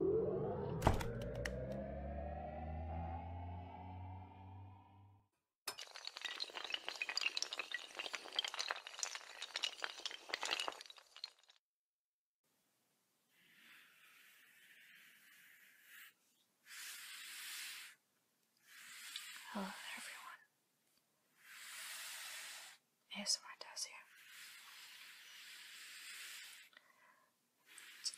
Hello everyone. ASMR does here.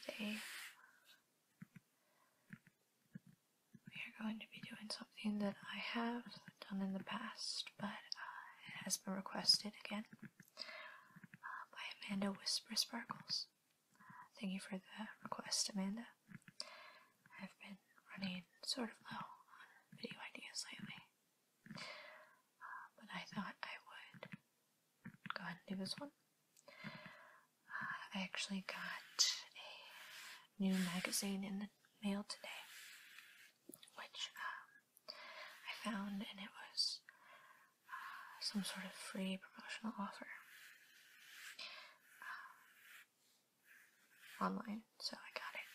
Today, we are going to be doing something that I have done in the past, but uh, it has been requested again uh, by Amanda Whisper Sparkles. thank you for the request, Amanda. I've been running sort of low on video ideas lately but I thought I would go ahead and do this one. Uh, I actually got a new magazine in the mail today, which um, I found, and it was uh, some sort of free promotional offer um, online, so I got it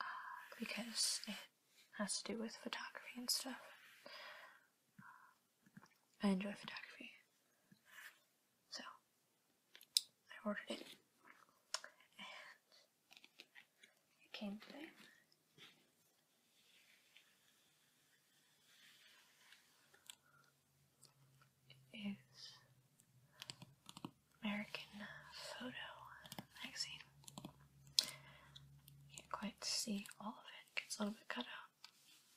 uh, because it has to do with photography and stuff. I enjoy photography. So, I ordered it. And it came today. It is American Photo Magazine. Can't quite see all of it. Gets a little bit cut out.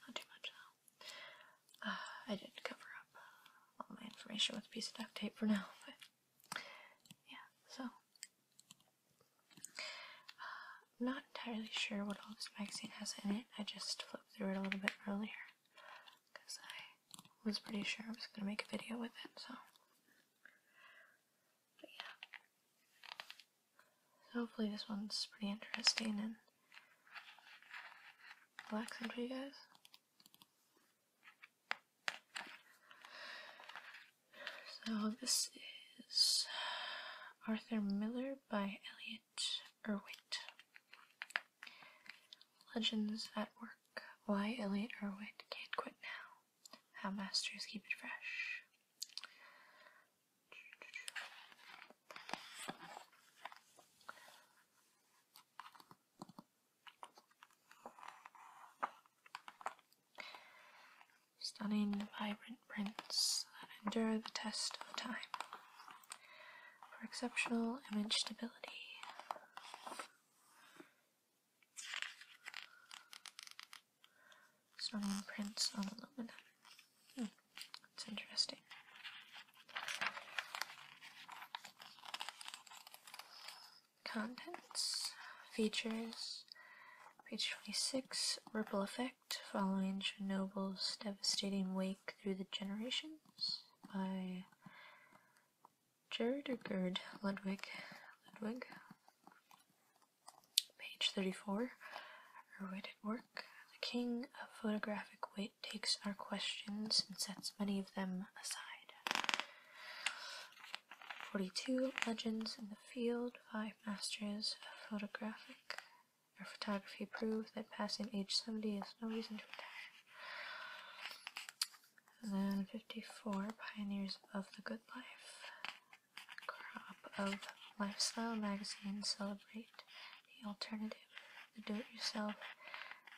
Not too much though. Uh, I did cover up uh, all my information with a piece of duct tape for now, but yeah, so. I'm uh, not entirely sure what all this magazine has in it. I just flipped through it a little bit earlier because I was pretty sure I was going to make a video with it, so. But yeah. hopefully this one's pretty interesting and relaxing for you guys. So this is Arthur Miller by Elliot Erwitt. Legends at Work. Why Elliot Erwitt Can't Quit Now how masters keep it fresh. Stunning, vibrant prints that endure the test of time for exceptional image stability. Someone prints on aluminum. Hmm. that's interesting. Contents, features, page 26, ripple effect following Chernobyl's devastating wake through the generations by Gerhard Gerd Ludwig. Ludwig. Page 34. Her weighted work. The king of photographic weight takes our questions and sets many of them aside. 42. Legends in the field. Five masters of photographic. Our photography proves that passing age 70 is no reason to retire. And then 54, Pioneers of the Good Life crop of lifestyle magazines celebrate the alternative, the do-it-yourself,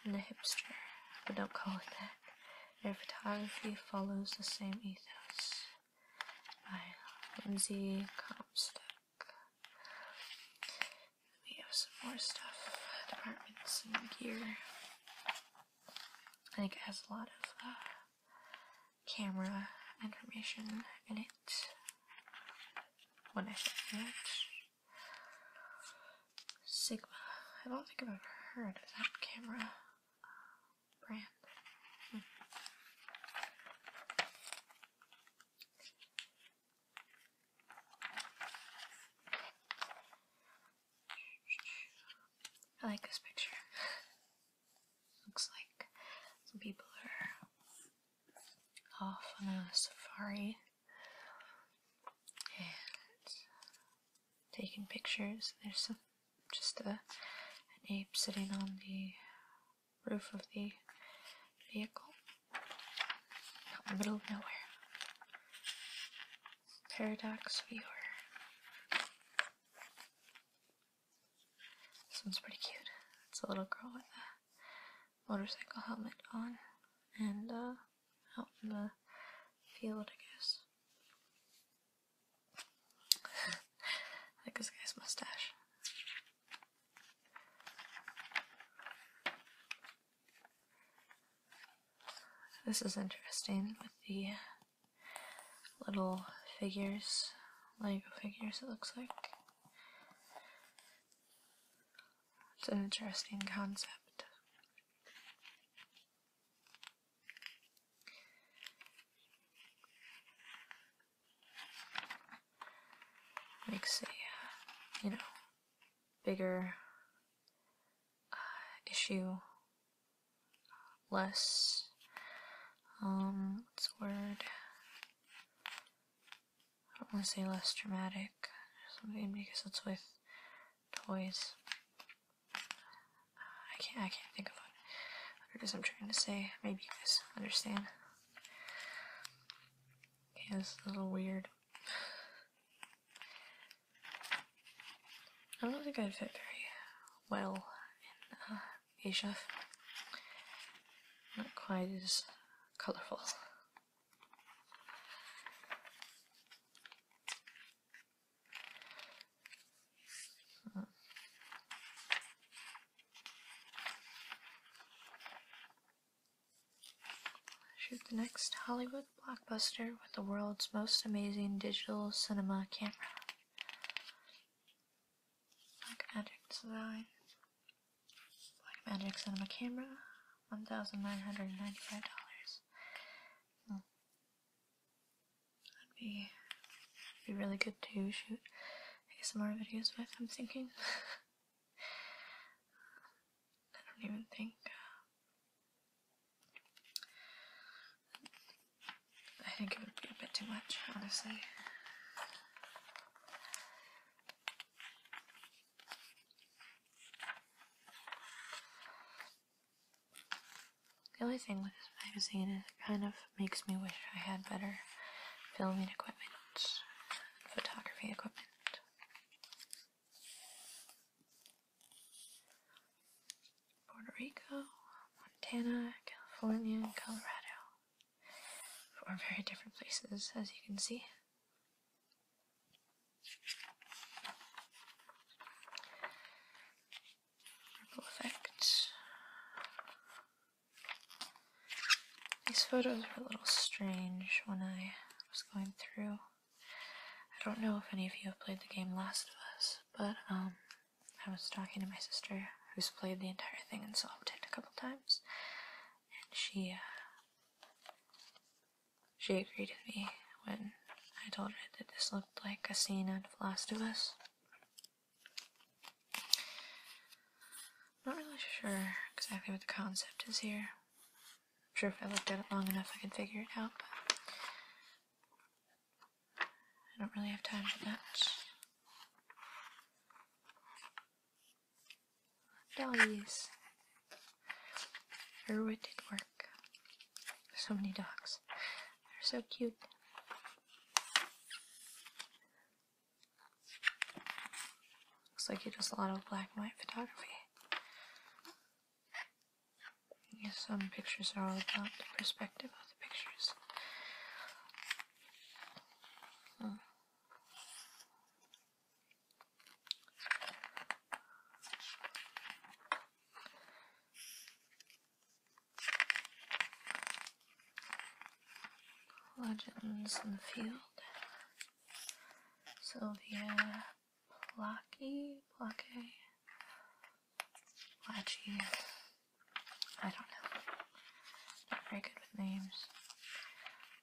and the hipster, but don't call it that. Their photography follows the same ethos. By Lindsay Comstock. We have some more stuff, departments and gear. I think it has a lot of uh, camera information in it when I say it. Sigma. I don't think I've ever heard of that camera uh, brand. Hmm. I like this picture. Looks like some people are off on a safari and taking pictures. There's a, just a, an ape sitting on the roof of the vehicle in the middle of nowhere. Paradox viewer. This one's pretty cute. It's a little girl with a motorcycle helmet on and uh, out in the field, I guess. like this guy's mustache. This is interesting with the uh, little figures, Lego figures it looks like. It's an interesting concept. Makes a, you know, bigger uh, issue less um what's the word I don't want to say less dramatic something because it's with toys I can't I can't think of it because is I'm trying to say maybe you guys understand okay this is a little weird I don't think I'd fit very well in uh, Asia. Not quite as colourful. Shoot the next Hollywood blockbuster with the world's most amazing digital cinema camera. Black Magic Design, Black Magic Cinema Camera, $1,995. Hmm. That'd be, be really good to shoot some more videos with, I'm thinking. I don't even think uh, I think it would be a bit too much, honestly. The only thing with this magazine is it kind of makes me wish I had better filming equipment, photography equipment. Puerto Rico, Montana, California, Colorado. Four very different places, as you can see. Ripple These photos were a little strange when I was going through. I don't know if any of you have played the game Last of Us, but um, I was talking to my sister, who's played the entire thing and solved it a couple times, and she, uh, she agreed with me when I told her that this looked like a scene out of Last of Us. Not really sure exactly what the concept is here. I'm sure if I looked at it long enough I could figure it out, I don't really have time for that. Doggies. Her work. So many dogs. They're so cute. Looks like he does a lot of black and white photography. I guess some pictures are all about the perspective of the pictures. Hmm. Legends in the field. Sylvia Blocky, Blocky, Latchy. I don't know. Not very good with names.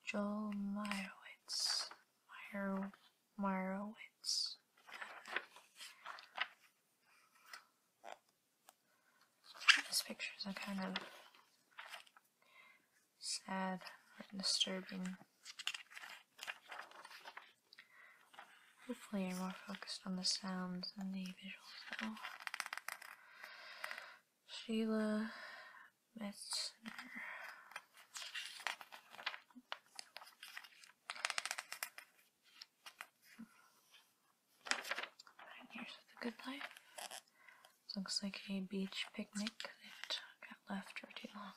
Joel Meyerowitz. Meyer Meyerowitz. These pictures are kind of sad or disturbing. Hopefully you're more focused on the sounds than the visuals though. Sheila Metzner. Here's the good life. looks like a beach picnic that got left for too long.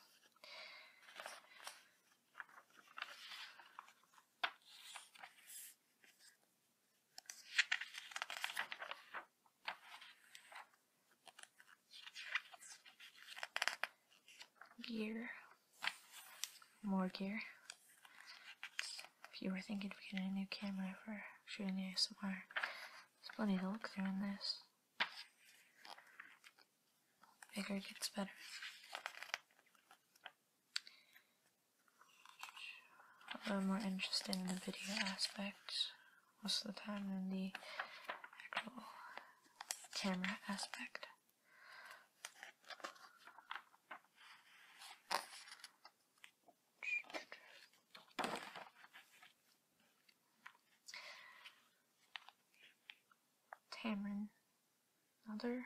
Gear. More gear. If you were thinking of getting a new camera for shooting ASMR, there's plenty to look through in this. Bigger gets better. I'm more interested in the video aspect most of the time than the actual camera aspect. Tamron another.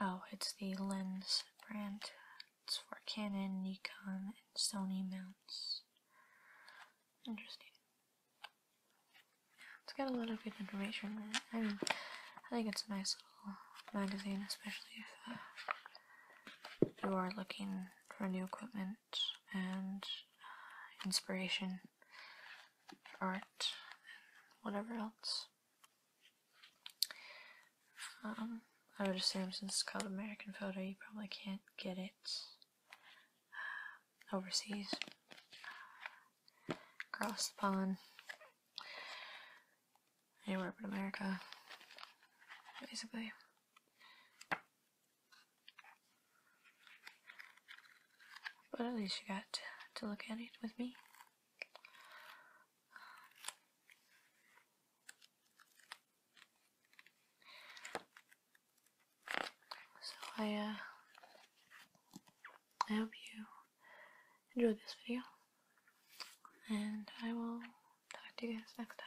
Oh, it's the lens brand. It's for Canon, Nikon, and Sony mounts. Interesting. It's got a lot of good information in it. I mean, I think it's a nice little magazine, especially if uh, you are looking for new equipment and uh, inspiration art whatever else. Um, I would assume since it's called American Photo, you probably can't get it uh, overseas. Across the pond, anywhere but America, basically. But at least you got to, look at it with me. So I, uh, I hope you enjoyed this video, and I will talk to you guys next time.